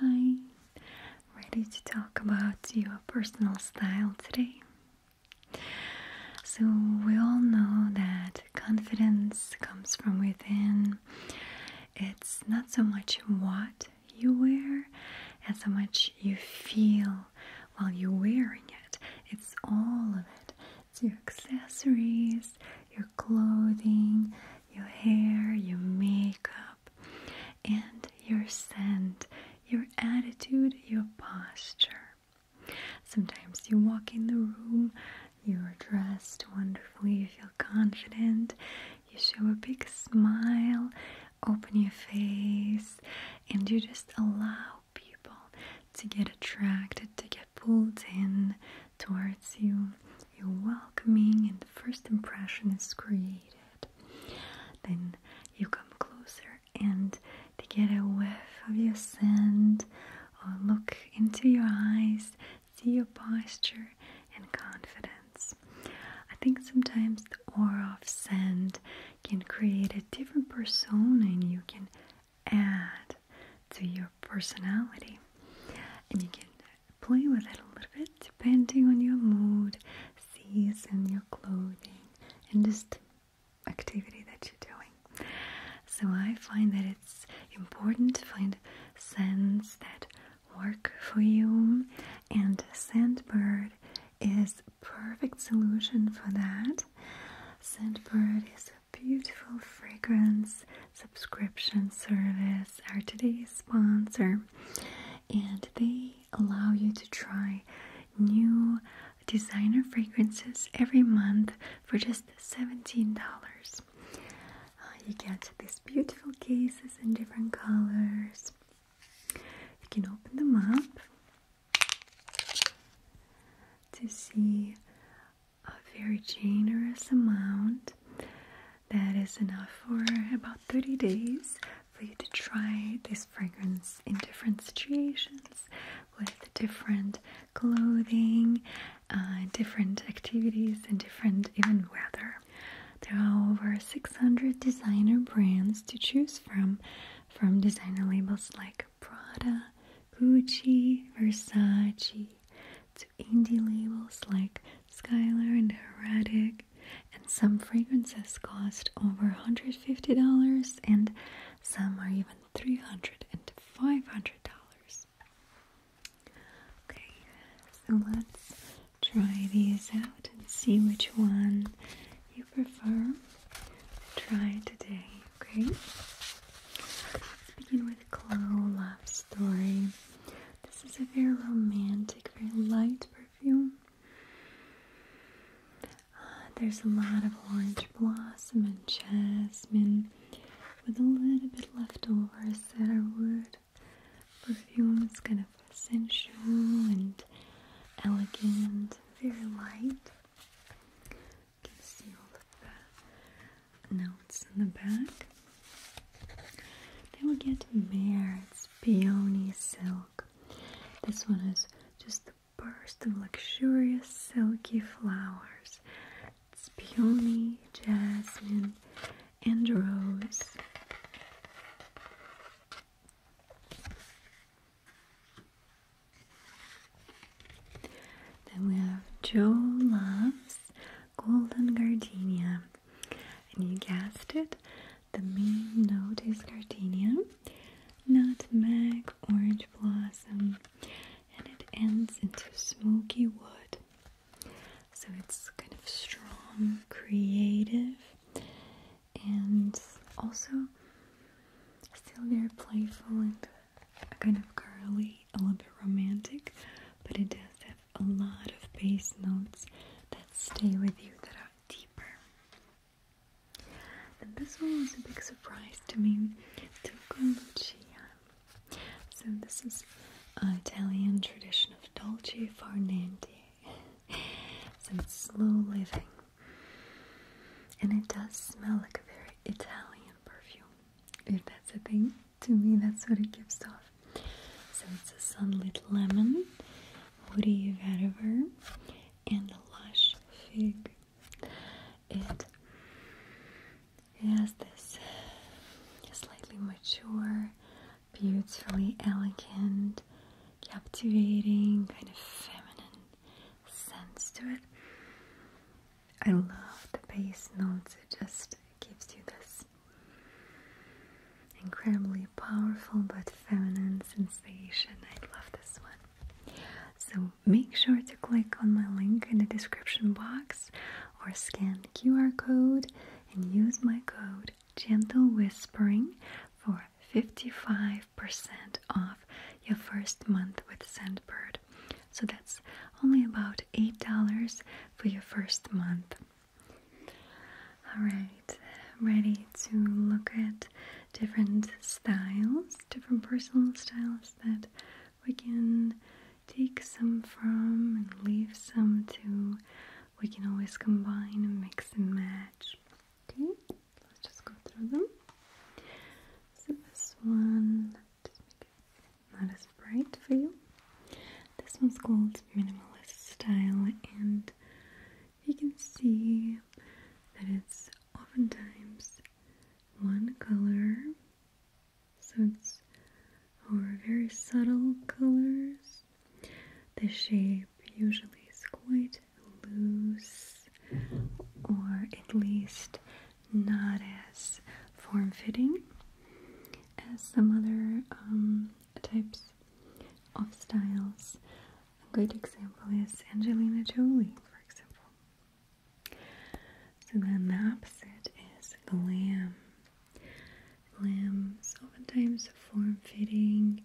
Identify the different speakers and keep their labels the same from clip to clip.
Speaker 1: Hi, ready to talk about your personal style today? So, we all know that confidence comes from within. It's not so much what you wear as how much you feel while you're wearing it. It's all of it. It's your accessories, your clothing, your hair, your makeup, and your scent, your attitude, your posture. Sometimes you walk in the room, you're dressed wonderfully, you feel confident, you show a big smile, open your face, and you just allow people to get attracted, to get pulled in towards you you're welcoming and the first impression is created. Then you come closer and they get a whiff of your scent or look into your eyes, see your posture and confidence. I think sometimes the aura of scent can create a different persona and you can add to your personality and you can play with it a little bit depending on your mood, season, your clothing, and just activity that you're doing. So I find that it's important to find scents that work for you, and Scentbird is perfect solution for that. Scentbird is a beautiful fragrance subscription service are today's sponsor, and they allow you to try new designer fragrances every month for just $17. Uh, you get these beautiful cases in different colors. You can open them up to see a very generous amount that is enough for about 30 days for you to try this fragrance in different situations with different clothing, uh, different activities, and different even weather. There are over 600 designer brands to choose from, from designer labels like Prada, Gucci, Versace, indie labels like Skylar and Heretic, and some fragrances cost over $150 and some are even $300 and $500. Okay, so let's try these out and see which one you prefer try today, okay? Let's begin with Chloe Love Story. This is a very romantic, very light perfume. Uh, there's a lot of orange blossom and jasmine with a little bit left over cedarwood. Perfume It's kind of sensual and elegant, very light. You can see all the notes in the back. Then we get Mare's Peony Silk. This one is just a burst of luxurious silky flowers. It's peony, jasmine, and rose. Then we have Joe Loves golden gardenia. And you guessed it, the main note is gardenia, nutmeg, orange blossom, and it ends into smoky wood. So it's kind of strong, creative, and also still very playful and kind of girly, a little bit romantic, but it does have a lot of bass notes that stay with you that are deeper. And this one was a big surprise to me, Tuco So this is an Italian tradition of dolce far niente. so it's slow living. And it does smell like a very Italian perfume, if that's a thing to me, that's what it gives off. So it's a sunlit lemon, woody vetiver, and a lush fig. It has this slightly mature, beautifully elegant, captivating, kind of feminine sense to it. I love the base notes, it just gives you this incredibly powerful but feminine sensation. I love this one. So make sure to click on my link in the description box or scan QR code and use my code Gentle Whispering for 55% off your first month with Scentbird. So that's only about $8 for your first month. Alright, ready to look at different styles, different personal styles that we can take some from and leave some to. We can always combine and mix and match. Okay, let's just go through them. So, this one, just make it not as bright for you. This one's called Minimalist Style, and you can see that it's oftentimes one color, so it's or very subtle colors. The shape usually is quite loose, or at least not as form fitting as some other um, types of styles. A good example is Angelina Jolie, for example. So then the opposite is glam. Glam is form fitting,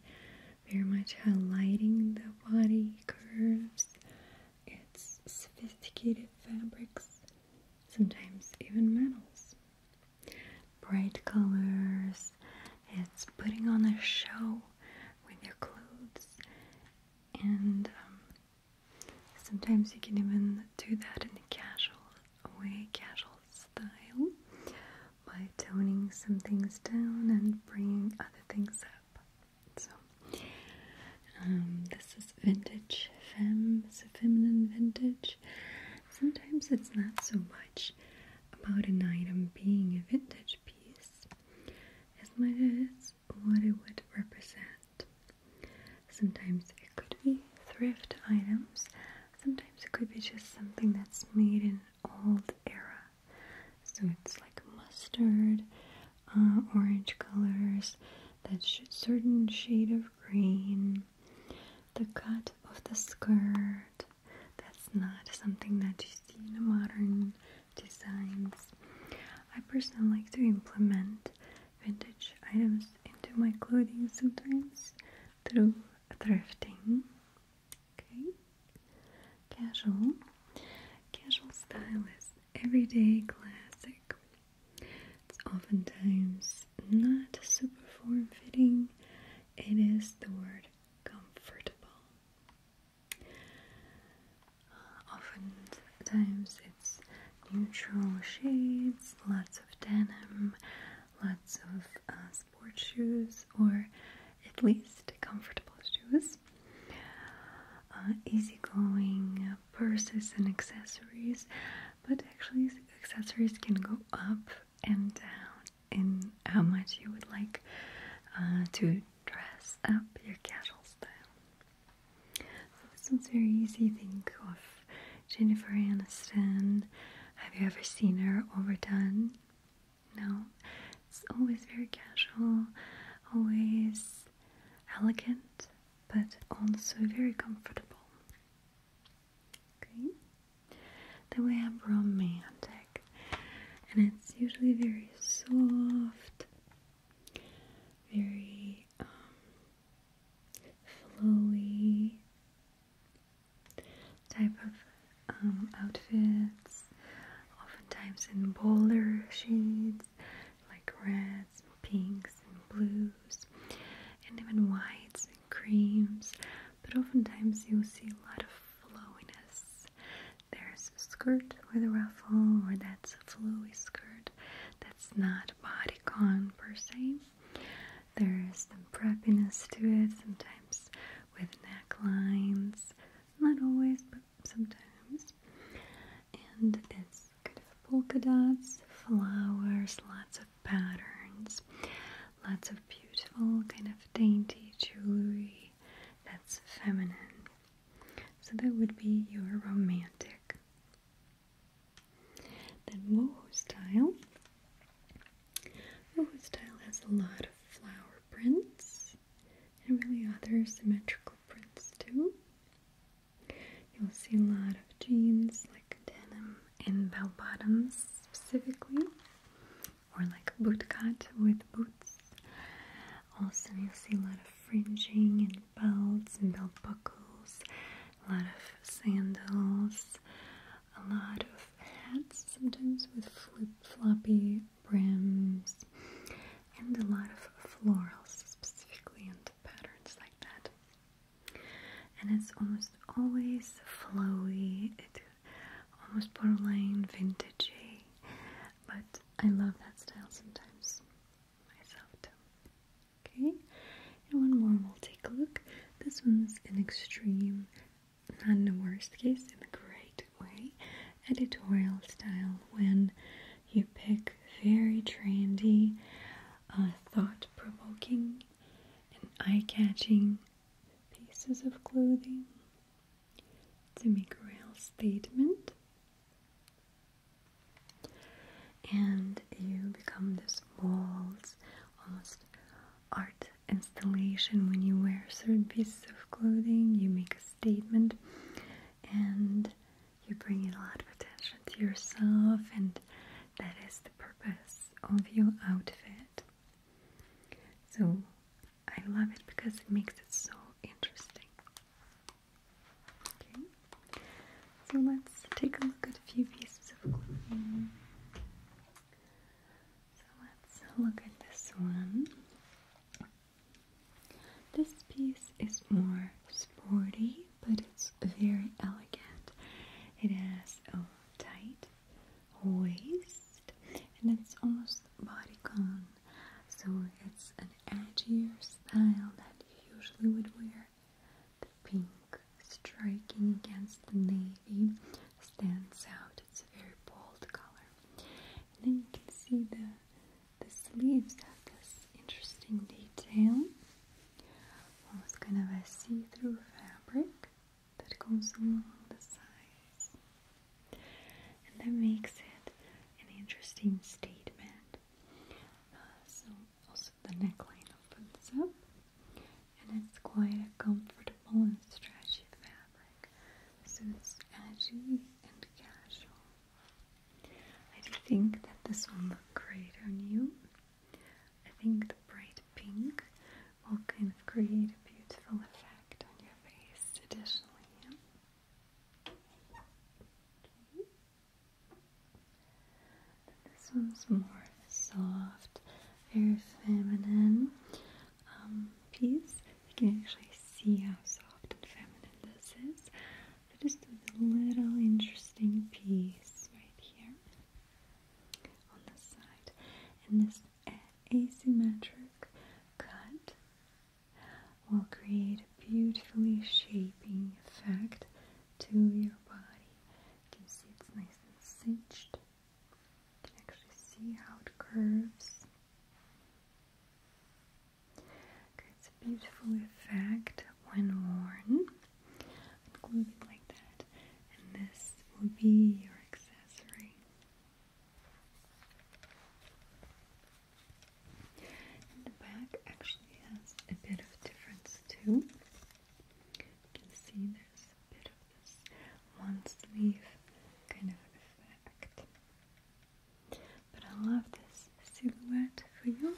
Speaker 1: very much highlighting the body curves, its sophisticated fabrics, sometimes even metals bright colors, it's putting on a show with your clothes, and um, sometimes you can even do that in a casual way, casual style, by toning some things down and bringing other things up. So, um, this is vintage fem, femme, so feminine vintage. Sometimes it's not so much about an item being a vintage piece as much as what it would represent. Sometimes it could be thrift items, sometimes it could be just something that's made in old era. So it's like mustard, uh, orange colors, that certain shade of green, the cut of the skirt. That's not something that you see in modern designs. I personally like to implement vintage items into my clothing sometimes through thrifting. Okay, casual. Casual style is everyday classic. It's oftentimes not super form fitting it is the word comfortable. Uh, oftentimes it's neutral shades, lots of denim, lots of uh, sports shoes, or at least comfortable shoes. Uh, easygoing purses and accessories, but actually accessories can go up and down uh, in how much you would like uh, to dress up your casual style. So this one's very easy. Think of Jennifer Aniston. Have you ever seen her overdone? No. It's always very casual, always elegant, but also very comfortable. Okay. way I'm romantic, and it's usually very soft, very um, flowy type of um, outfits, oftentimes in bolder shades like reds, pinks, and blues, and even whites and creams but oftentimes you'll see a lot of flowiness. There's a skirt with a ruffle, or that's a flowy skirt that's not bodycon per se. There's some preppiness to it, sometimes with necklines, not always, but sometimes. And it's kind of polka dots, flowers, lots of patterns, lots of beautiful, kind of dainty jewelry that's feminine. So that would be your romantic. Then WooHoo style. WooHoo style has a lot of flower prints and really other symmetrical prints too. You'll see a lot of jeans like denim in bell bottoms specifically, or like boot cut with boots. Also, you'll see a lot of fringing and belts and belt buckles, a lot of sandals, a lot of hats, sometimes with flip floppy brims, and a lot of florals specifically and patterns like that and it's almost always flowy. almost borderline vintagey, but I love that style sometimes myself too. Okay, and one more, we'll take a look. This one's an extreme, not the worst case, in a great way, editorial style when you pick very trendy, uh, thought provoking, and eye catching pieces of clothing to make a real statement. And you become this walls, almost art installation. When you wear certain pieces of clothing, you make a statement and you bring a lot of attention to yourself, and that is the purpose of your outfit. So I love it because it makes it so interesting. Okay, so let's take a look at a few pieces of clothing. So let's look at this one. This piece is more sporty, but it's very elegant. It has a tight waist and it's almost bodycon so it's an edgier style that you usually would wear the pink striking against the navy stands out it's a very bold color and then you can see the the sleeves have this interesting detail almost kind of a see-through fabric that goes along the sides, and that makes it an interesting statement. Uh, so, also the neckline opens up, and it's quite a comfortable and stretchy fabric, so it's edgy and casual. I think that this will look great on you. I think the bright pink will kind of create a beautiful effect on your face additionally. This one's more soft, very feminine um, piece. You can actually see how soft and feminine this is. just a little interesting piece right here on the side, and this asymmetric cut will create a beautifully shaping effect to your body. You can see it's nice and cinched. You can actually see how it curves. it's a beautiful effect when worn. i like that and this will be your accessory. And the back actually has a bit of difference too. You can see there's a bit of this one sleeve kind of effect. But I love this silhouette for you.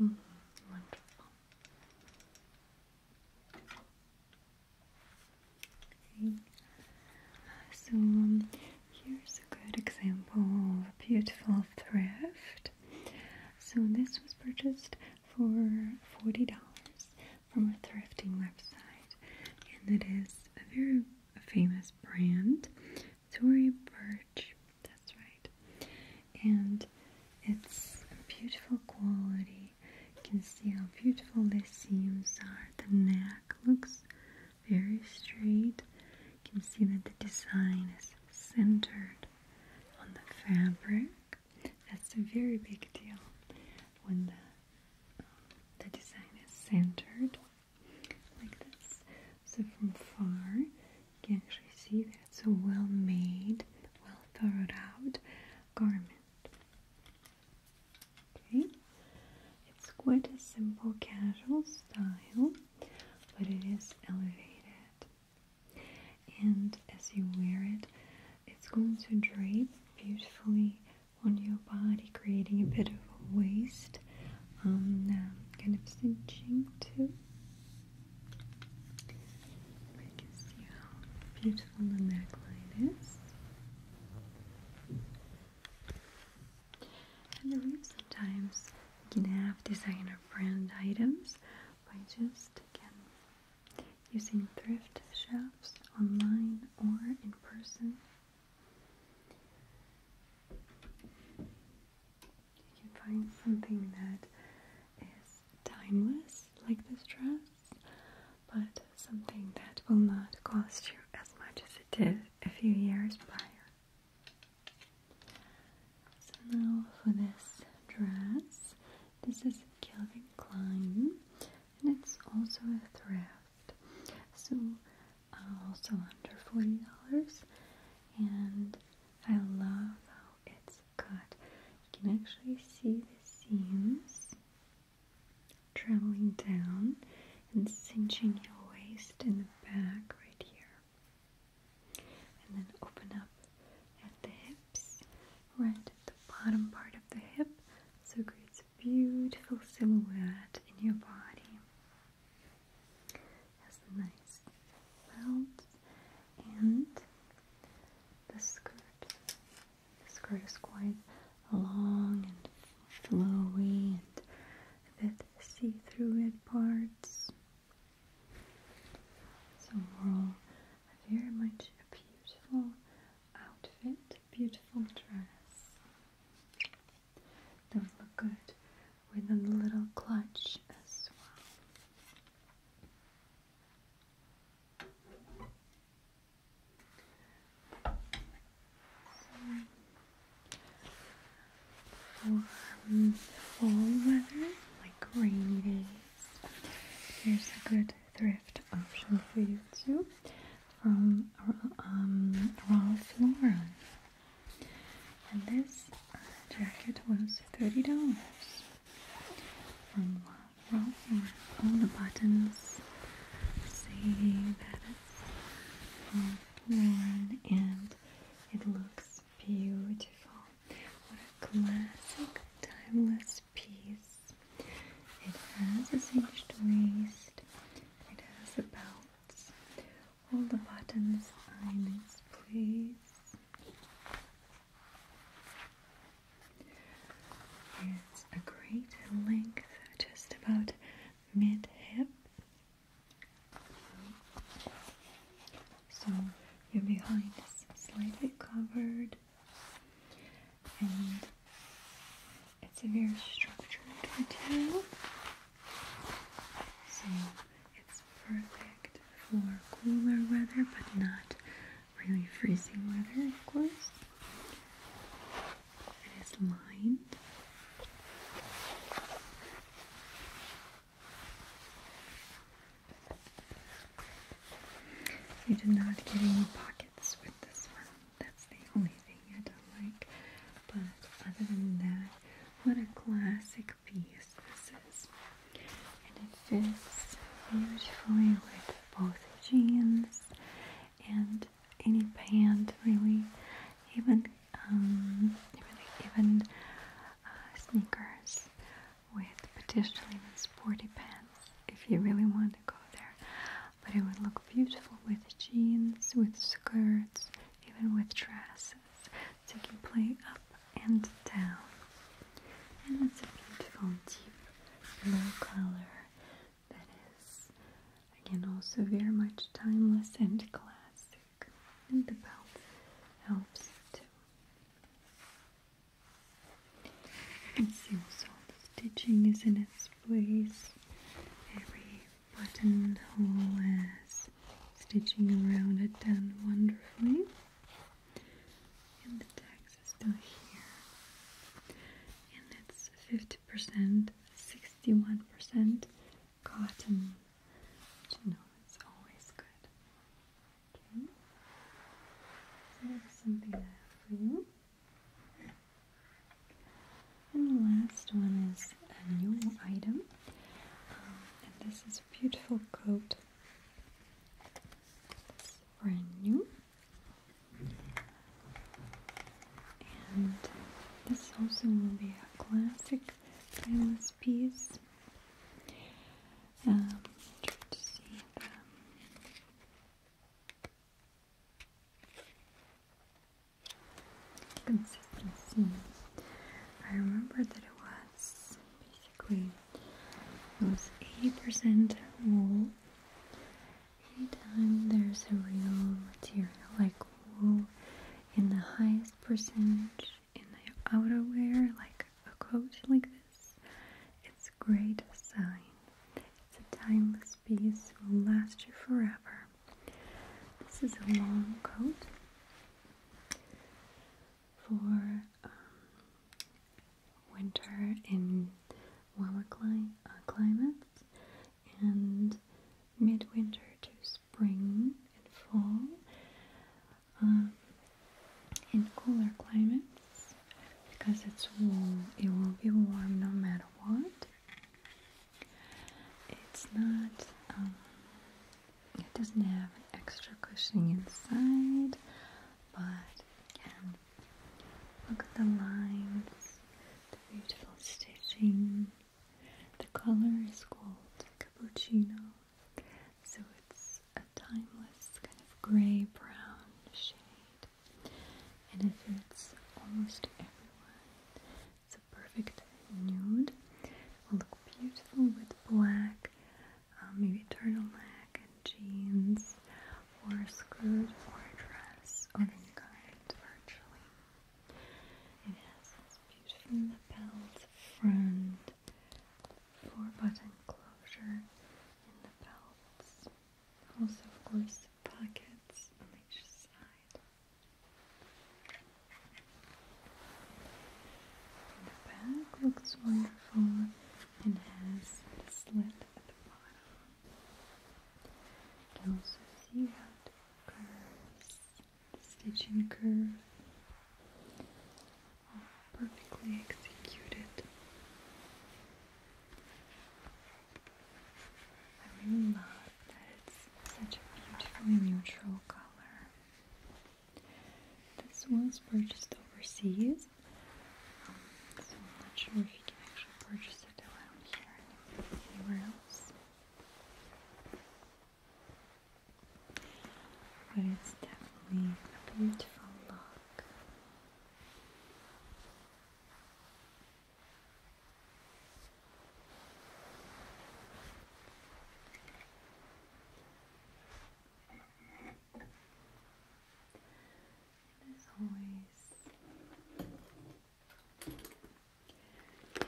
Speaker 1: Mm, wonderful. So um, here's a good example of beautiful thrift. So this was purchased for $40 from a thrifting website and it is a very famous brand, Tory Birch, that's right. And it's a beautiful quality you can see how beautiful the seams are. The neck looks very straight. You can see that the design is centered on the fabric. That's a very big deal when the, um, the design is centered like this. So from far, you can actually see that it's a well-made, well thought out garment. Okay, it's quite a simple casual style, but it is elevated, and as you wear it, it's going to drape beautifully on your body, creating a bit of a waist, um, kind of cinching too. I can see how beautiful the neckline is. And sometimes you can have designer brand items by just again using thrift shops online or in person. You can find something that is timeless, like this dress, but something that will not cost you as much as it did a few years prior. So now for this dress, this is Calvin Klein, and it's also a thrift. So uh, also under forty dollars, and I love how it's cut. You can actually see the seams traveling down and cinching your waist in the back right here. And then open up at the hips, right at the bottom part of the hip, so it creates a beautiful silhouette in your body. Has a nice belt and the skirt. The skirt is quite long and flowy and a see-through at parts. So overall, very much a beautiful outfit, beautiful dress. Those look good with a little clutch as well warm fall weather, like rainy days, here's a good thrift option for you too from um, Ralph Lauren. And this jacket was $30 from all the buttons. See that it's all worn and it looks beautiful. What a classic, timeless piece. It has a cinched waist, it has a belt. All the buttons are in its it's a great length, just about mid hip. So your behind is slightly covered, and it's a very structured material. So it's perfect for cooler weather, but not really freezing weather, of course. It is lined. You did not get any pockets with this one. That's the only thing I don't like. But other than that, what a classic piece this is and it fits beautifully with both jeans and any pant really even um, even, even uh, sneakers with potentially even sporty pants if you really want to go there but it would look beautiful with jeans with skirts even with dresses so you play up and down and it's a beautiful deep blue color that is, again, also very much timeless and classic. And the belt helps too. You see also the stitching is in its place. Every buttonhole has stitching around it done wonderfully and the tax is still here and it's 50% 61% cotton you know it's always good okay so something for you and the last one is a new item um, and this is a beautiful coat brand new. And this also will be a classic timeless piece. Um, try to see the um, consistency. I remember that it was basically those 80% wool anytime um, there's a real material like wool in the highest percentage in the outerwear like a coat like this it's great sign it's a timeless piece will last you forever this is a long coat for um, winter in warmer uh, climates and midwinter to spring and fall um, in cooler climates because it's warm, it will be warm no matter what it's not um, it doesn't have extra cushioning inside but it Look at the lines, the beautiful stitching. The color is called cappuccino, so it's a timeless kind of grey brown shade. And it fits almost everyone. It's a perfect nude. will look beautiful with black um, maybe a turtleneck and jeans, or a skirt or a dress or any kind, virtually. It has this beautiful lapels front, four button closure in the belts, also, of course, pockets on each side. And the back looks wonderful and has a slit at the bottom. You can also see how it curves, the stitching curve, all perfectly executed. I really love that it's such a beautiful neutral color. This was purchased overseas I'm not sure if you can actually purchase it around here anywhere else. But it's definitely a beautiful look.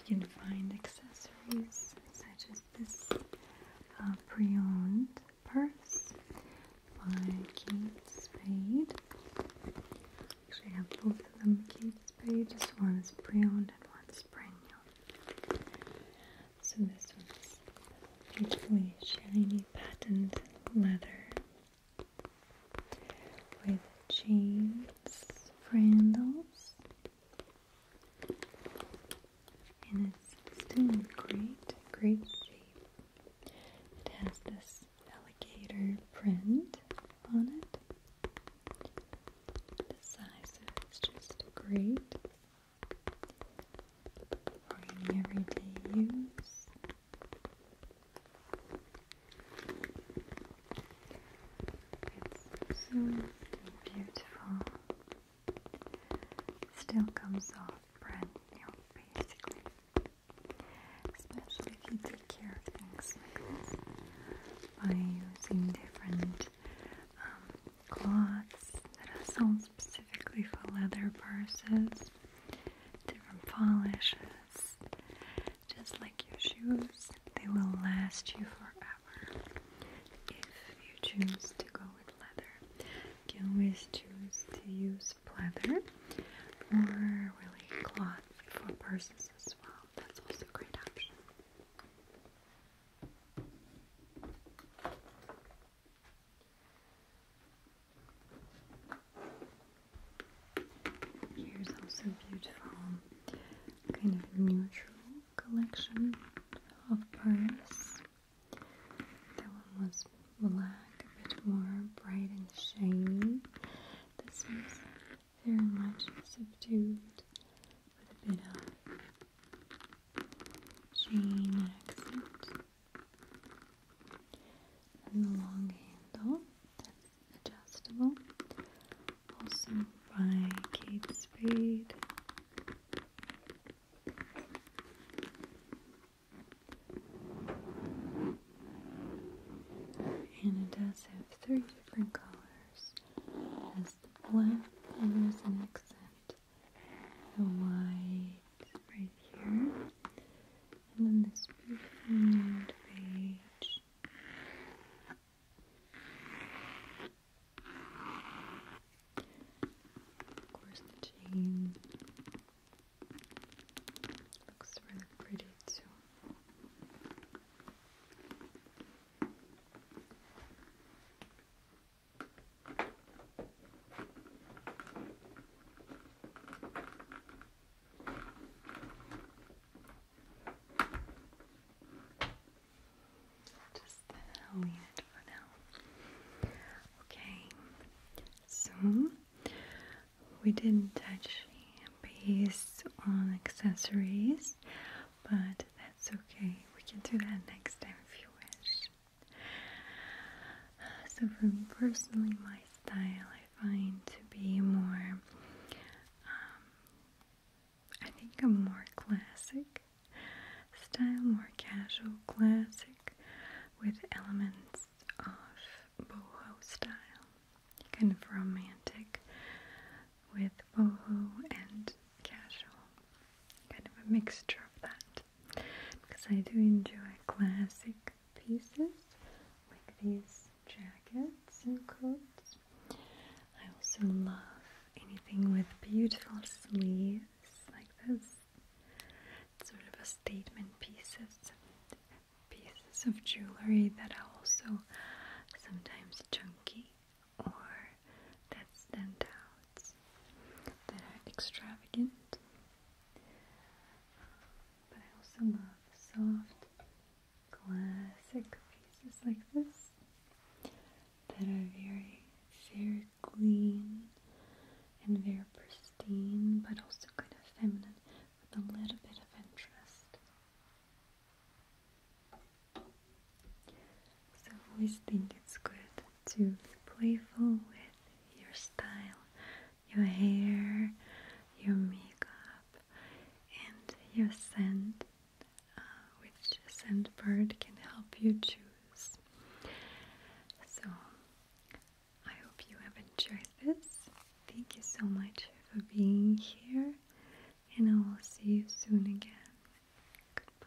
Speaker 1: You can find accessories such as this uh, pre-owned purse by Kate Spade. Actually, have both of them Kate Spade, just one is pre-owned and one is brand new. So this one's beautifully shiny patent leather with chains for and it's still great, great shape. It has this alligator print on it. The size of just great for everyday use. It's so beautiful. Still comes off brand new, basically. Especially if you take care of things by using different um, cloths that are sold specifically for leather purses different polishes. Just like your shoes, they will last you forever if you choose to go with leather. You can always choose to use leather or really cloth for purses as well. That's also a great option. Here's also beautiful kind of neutral collection of purse. That one was black, a bit more bright and shiny. This is very much subdued with a bit of chain accent and the long handle that's adjustable, also by Kate Spade. And it does have three different colors. as the black, and there's an accent, the white, right, here. And then this beautiful page. Of course, the chain looks really pretty too. Just leave it for now. Okay, so we didn't touch a on accessories, but that's okay. We can do that next time if you wish. So, for personally, my style I find to be more, um, I think, a more classic style, more casual classic with elements of boho style, kind of romantic with boho and casual, kind of a mixture of that because I do enjoy classic pieces like these jackets and coats. I also love anything with beautiful sleeves like this. sort of a statement pieces, pieces of jewelry that are also sometimes chunky or that stand that are extravagant. But I also love soft, classic pieces like this that are very, very clean and very pristine, but also kind of feminine with a little bit of interest. So I always think it's good to be playful with your style, your hair, your makeup, and your scent, uh, which scent bird can help you choose. So, I hope you have enjoyed this. Thank you so much for being here, and I will see you soon again. Goodbye.